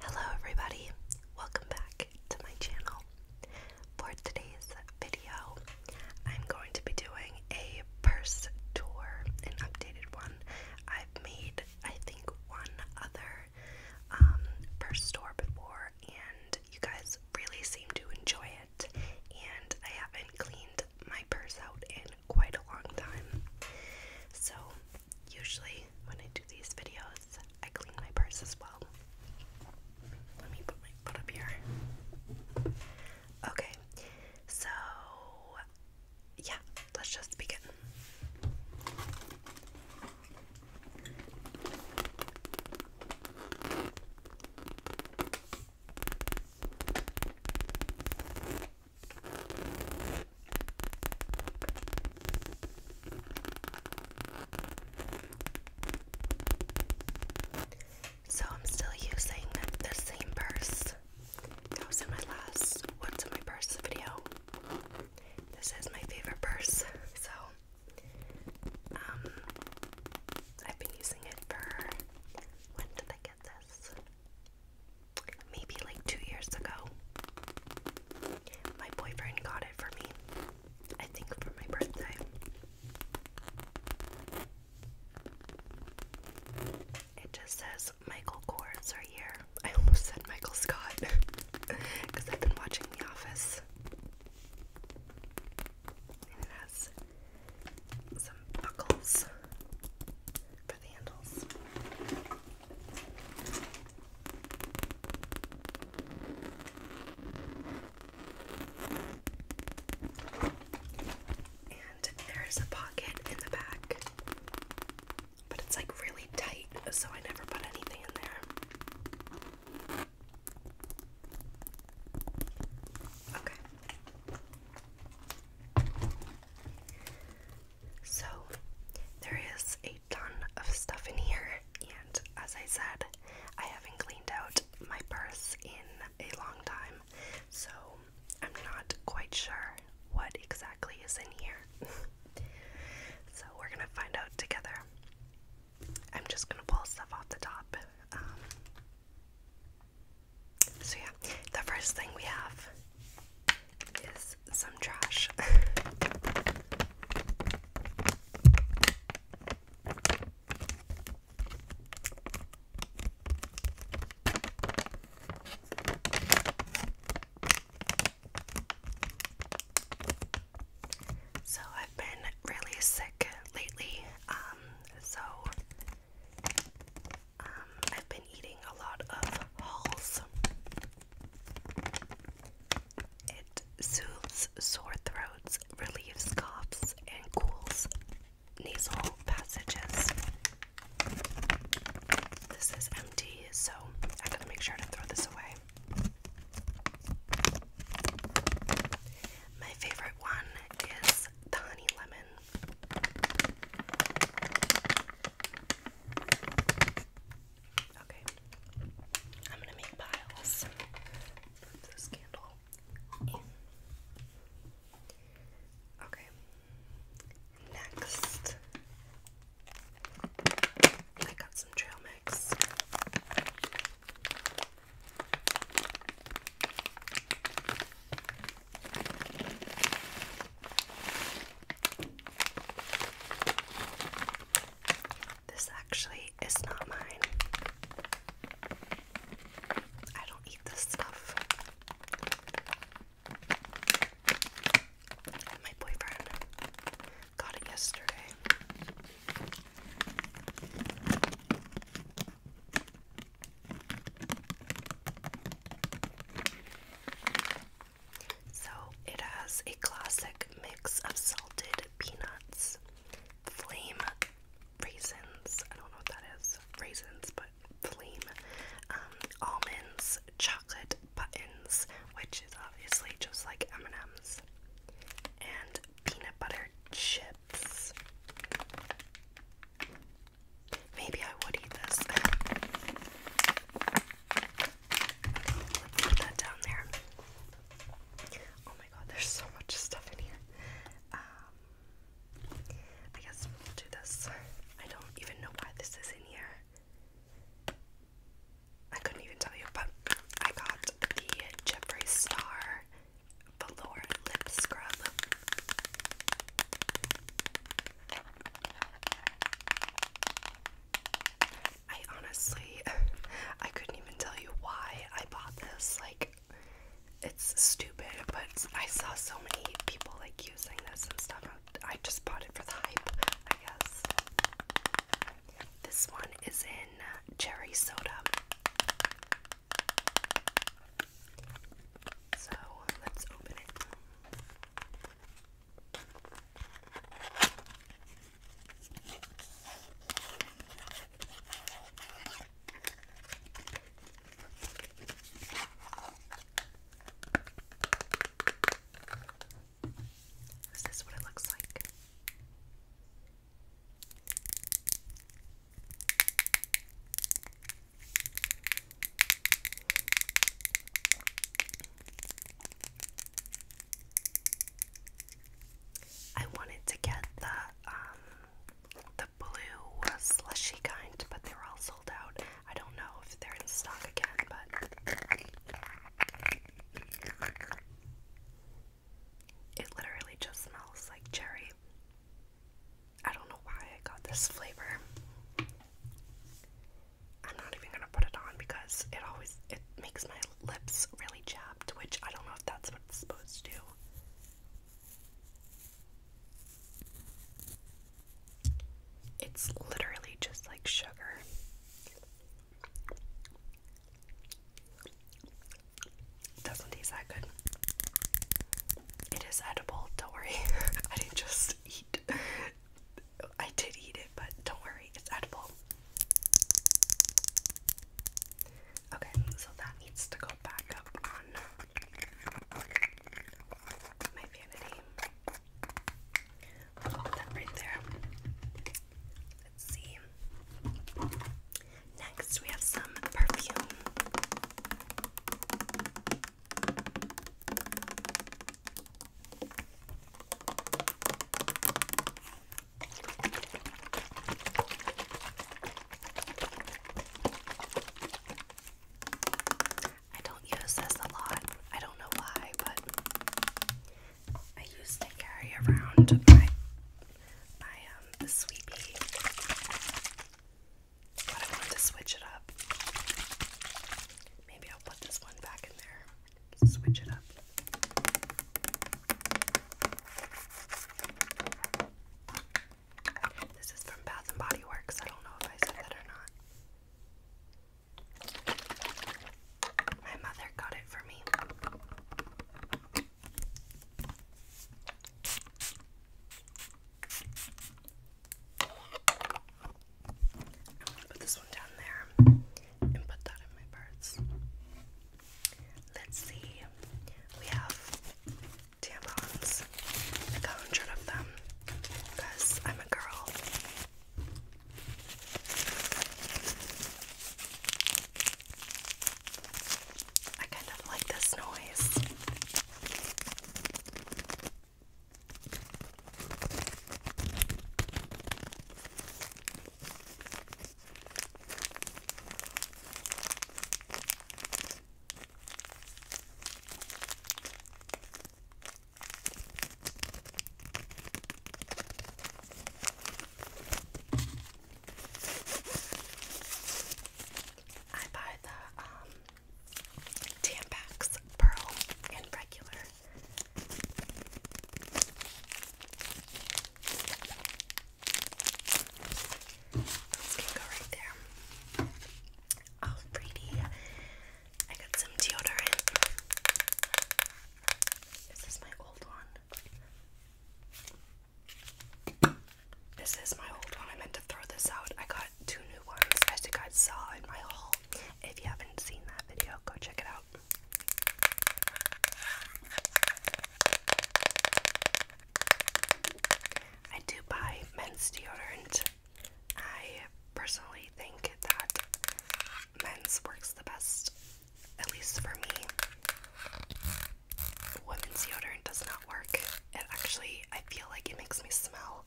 Hello, everybody, welcome back to my channel. For today's video, I'm going to be doing a purse tour, an updated one. I've made, I think, one other um, purse tour before, and you guys really seem to enjoy it. And I haven't cleaned my purse out in quite a long time. So, usually when I do these videos, I clean my purse as well. Let me put my foot up here. Okay, so yeah, let's just begin. So I'm still using the same purse that was in my last What's in My Purse video. This is my favorite purse, so um, I've been using it for when did I maybe like two years ago. My boyfriend got it for me, I think for my birthday. It just says Michael Kors right here. I almost said Michael Scott because I've been watching The Office. And it has some buckles for the handles. And there is a pocket in the back, but it's like really tight, so I never put anything in there. Okay. So, there is a ton of stuff in here, and as I said, I haven't cleaned out my purse in a long time, so I'm not quite sure what exactly is in here. so, we're gonna find out together. I'm just gonna pull stuff off the top. Um, so, yeah, the first thing we have is some trash. So I've been really sick lately, um, so um, I've been eating a lot of hulls. It soothes sore throats, relieves coughs, and cools nasal passages. This is empty, so I gotta make sure to throw this away. My favorite one is the honey lemon. Okay. I'm gonna make piles. Put this candle in. Okay. Next, I got some trail mix. This actually is not mine. I don't eat this stuff. my boyfriend got it yesterday. So it has a classic mix of salted peanuts, flame raisins, I don't know what that is, raisins, but flame, um, almonds, chocolate buttons, which is obviously just like M&M's, and peanut butter chips. Maybe I would eat this. put that down there. Oh my god, there's so much stuff in here. Um, I guess we'll do this. I don't even know why this is in here. I couldn't even tell you, but I got the Jeffree Star Velour Lip Scrub. I honestly, I couldn't even tell you why I bought this. Like, it's stupid, but I saw so many people like using this and stuff. I just bought it for the hype, I guess. This one is in cherry soda. So let's open it. Is this what it looks like? I wanted to get the um, the blue slushy kind, but they were all sold out. I don't know if they're in stock again, but it literally just smells like cherry. I don't know why I got this flavor. I'm not even gonna put it on because it always it makes my lips really chapped, which I don't know if that's what it's supposed to do. It's literally just like sugar. Doesn't taste that good. It is edible, don't worry. I just eat I did eat it, but don't worry, it's edible. Okay, so that needs to go back up on my vanity. i that right there. Let's see. Next, we have some perfume. I don't use this a lot. I don't know why, but I used to carry around my my um sweepie. But I wanted to switch it up. Maybe I'll put this one back in there. Switch it up. This is from Bath and Body Works. I don't know if I said that or not. My mother got it for me. I'm put this one down there and put that in my purse. Let's see. We have tampons. a hundred of them because I'm a girl. I kind of like this noise. I buy the um Pearl and regular this can go right there. Oh, pretty. I got some deodorant. This is my old one. This is my old one. I meant to throw this out. I got two new ones I you got saw in my haul. If you haven't seen that video, go check it out. I do buy men's deodorant. I personally think that men's works the best, at least for me. Women's deodorant does not work. actually, I feel like it makes me smell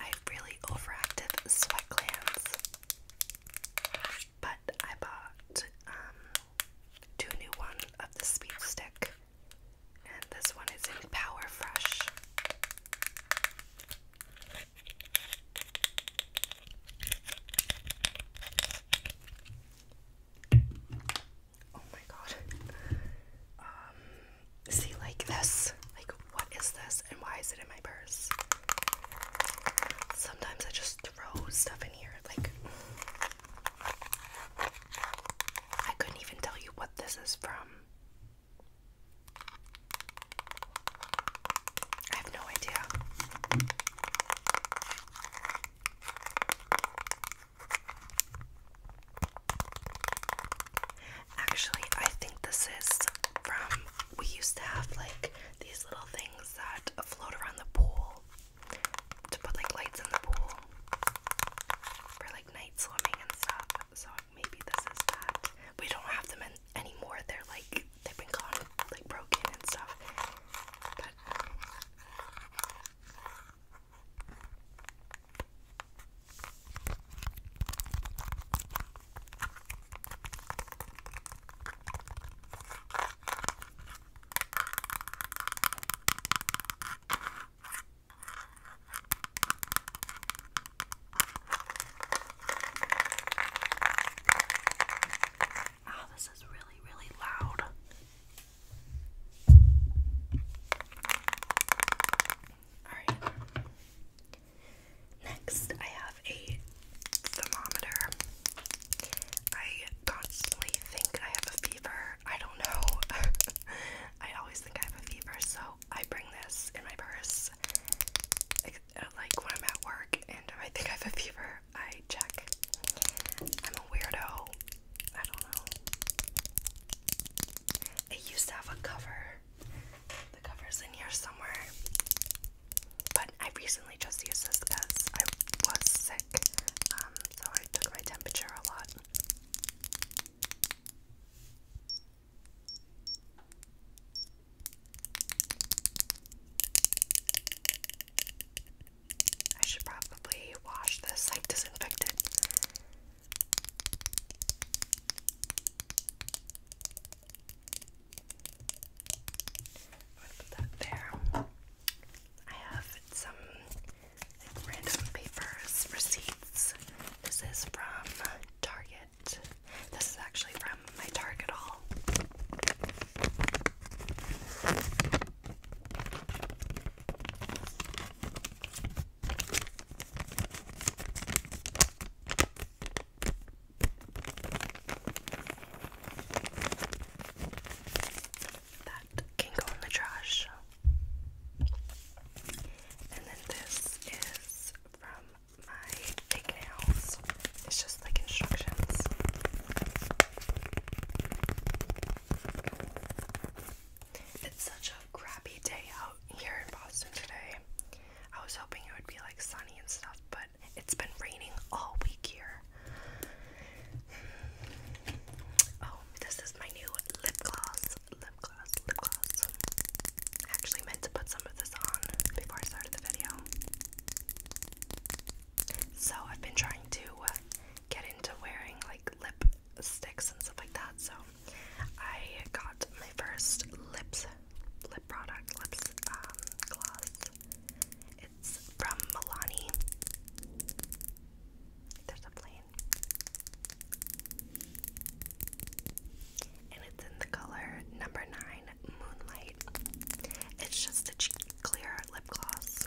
I have really overactive sweat glands. But I bought um, two new ones of the speed stick, and this one is in Power Fresh. Oh my god. Um, see, like this. Like, what is this and why is it in my purse? Sometimes I just throw stuff in here. Like, I couldn't even tell you what this is from. I have no idea. Actually, I think this is from. We used to have like these little things that float around the pool to put like lights in the pool for like night swimming and stuff. So maybe this is that. We don't have them anymore. They're like they've been like broken and stuff. Wow, oh, this is really, really loud. Next, I have a thermometer. I constantly think I have a fever. I don't know. I always think I have a fever, so I bring this in my purse. Like, uh, when I'm at work and I think I have a fever, I check. I'm a weirdo. I don't know. It used to have a cover. The cover's in here somewhere. But I recently just used this because I was sick. Um, so I took my temperature a lot. I should probably wash this, like disinfect it put that there. I have some random papers, receipts. This is from Target. This is actually from my Target haul. That can go in the trash. And then this is from my fake It's just like instructions. It's such a crappy day out here in Boston today. I was hoping it would be like sunny and stuff, but it's been raining all week here. Oh, this is my new lip gloss. Lip gloss, lip gloss. I actually meant to put some of this on before I started the video. So I've been trying to uh, get into wearing like lip sticks and stuff like that, so I got my first lips lip product, lips um, gloss. It's from Milani. There's a plane. And it's in the color number nine, Moonlight. It's just a clear lip gloss.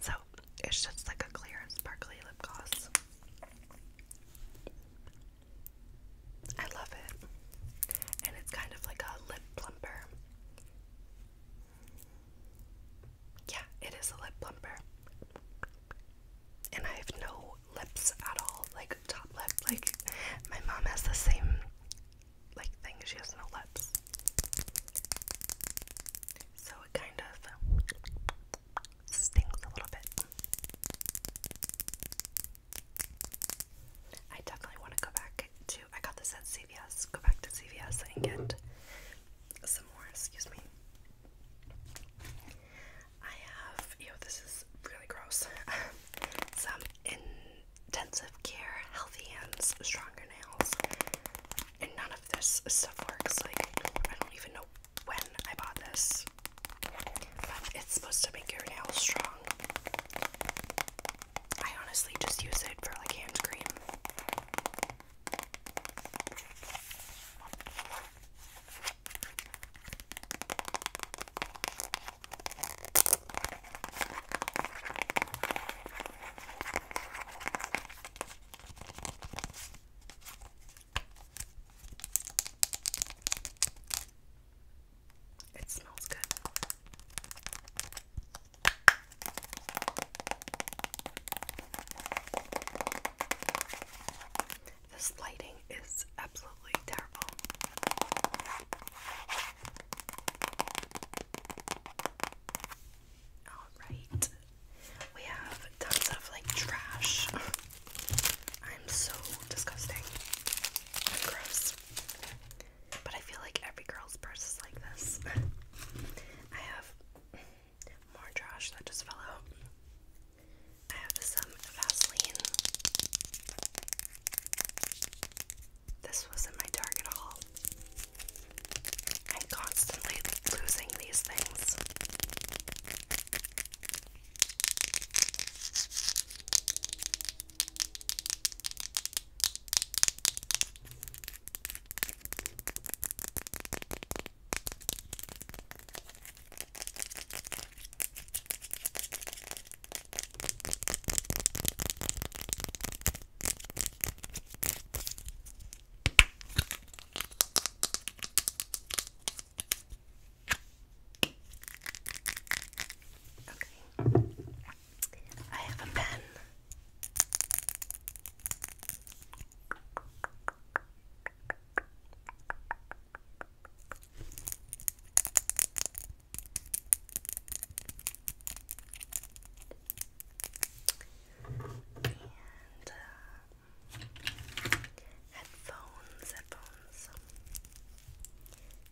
So it's just like a clear and sparkly lip gloss. I love it. And it's kind of like a lip plumper. Yeah, it is a lip plumper. And I have no lips at all, like top lip. Like, my mom has the same like thing. She has no lips. So it kind of stings a little bit. I definitely want to go back to, I got this at CVS, go back to CVS and get some more, excuse me. I have, you this is really gross, some in intensive care, healthy hands, stronger nails, and none of this stuff works. Like, I don't even know when I bought this, but it's supposed to make your nails strong. I honestly just use it for like hand cream. It smells good. This lighting is absolutely terrible. Alright. We have tons of like trash. I'm so disgusting. I'm gross. But I feel like every girl's purse is like this. I have more trash that just fell out. I have some Vaseline. This wasn't my target haul. I'm constantly losing these things. Okay. I have a pen. Uh, headphones,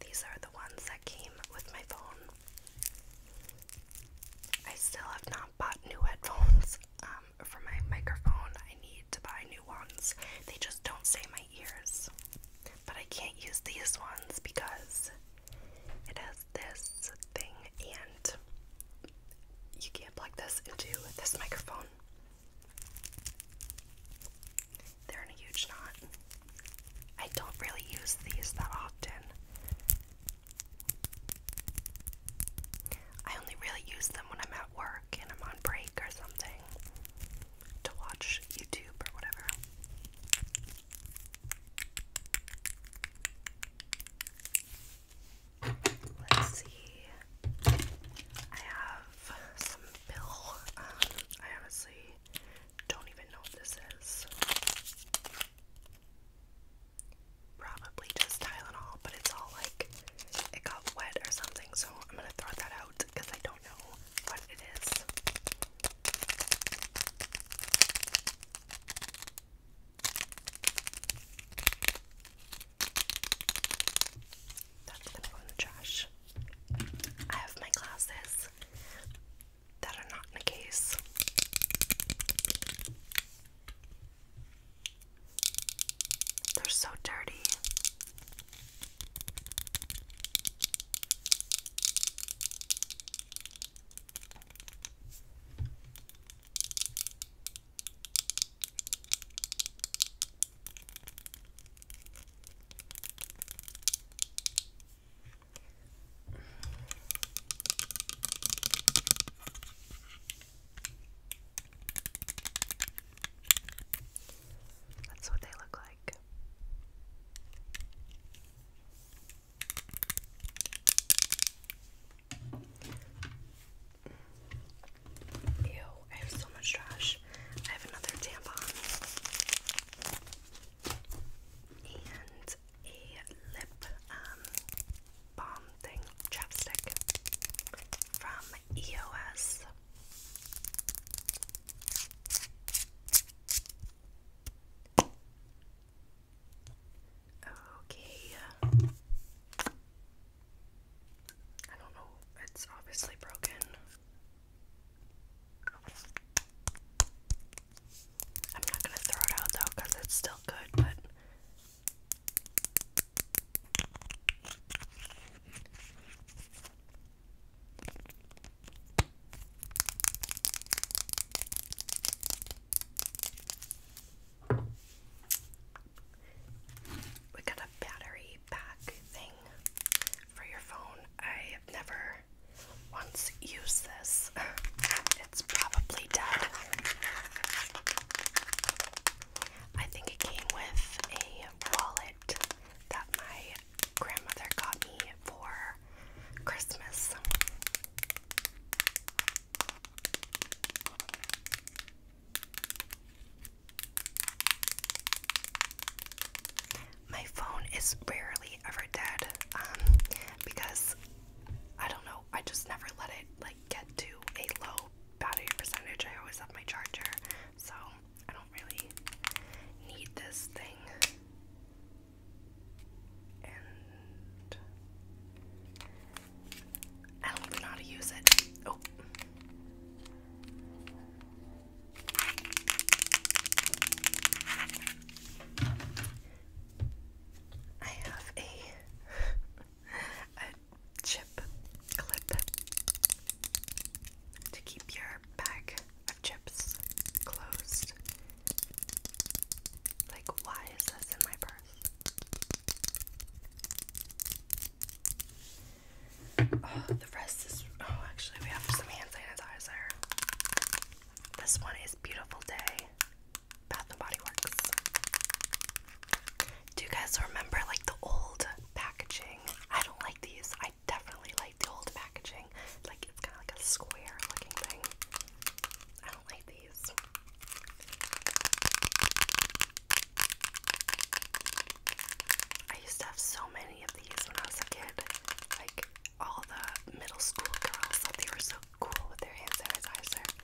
These are the ones that came with my phone. I still have not bought new headphones um, for my microphone. I need to buy new ones. They just don't say my ears. But I can't use these ones because it has this thing and you can't plug this into this microphone. They're in a huge knot. I don't really use these that often. I only really use them when I'm at work and I'm on break or something to watch YouTube or whatever. Let's see. I have some pill. Um, I honestly don't even know what this is. Probably just Tylenol, but it's all like it got wet or something, so I'm gonna throw that out because I don't know what it is. That's gonna go in the trash. I have my glasses that are not in a case. They're so dirty. That's what they look like. Ew, I have so much trash. I have another tampon and a lip um, balm thing, chapstick from EOS. Okay. I don't know. It's obviously broken. I'm not going to throw it out though because it's still good, but. We got a battery pack thing for your phone. I have never once used this. It's probably dead. I think it came with a wallet that my grandmother got me for Christmas. My phone is rarely ever dead um, because I don't know, I just never let it like get to a low battery percentage. I always have my charger, so I don't really need this thing. I don't know how to use it. Oh. I have a a chip clip to keep your bag of chips closed like, why is this in my purse? Oh, the rest is. Oh, actually, we have some hand sanitizer. This one is Beautiful Day Bath and Body Works. Do you guys remember, like, the old packaging? I don't like these. I definitely like the old packaging. Like it's kind of like a square looking thing. I don't like these. I used to have so many of these when I was a kid. Like all the middle school girls thought they were so cool with their hand sanitizer.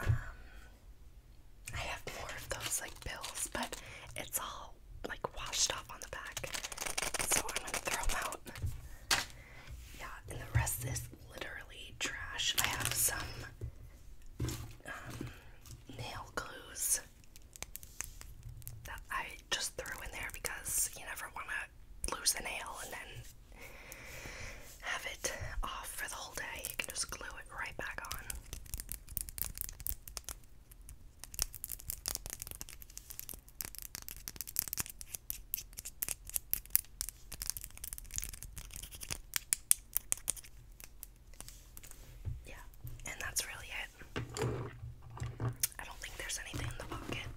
Um, I have more of those like pills, but it's all like washed off on the back, so I'm gonna throw them out. Yeah, and the rest is literally trash. I have some um, nail glues that I just threw in there because you never want to to lose the nail and then have it off for the whole day. You can just glue it right back on. Yeah, and that's really it. I don't think there's anything in the pocket.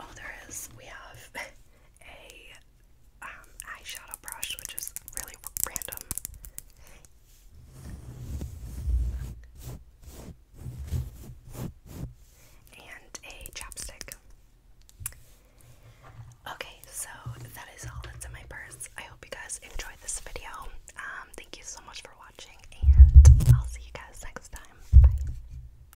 Oh, there is. We have a um, eyeshadow brush, which is really random. And a chapstick. Okay, so that is all that's in my purse. I hope you guys enjoyed this video. Um, thank you so much for watching, and I'll see you guys next time. Bye.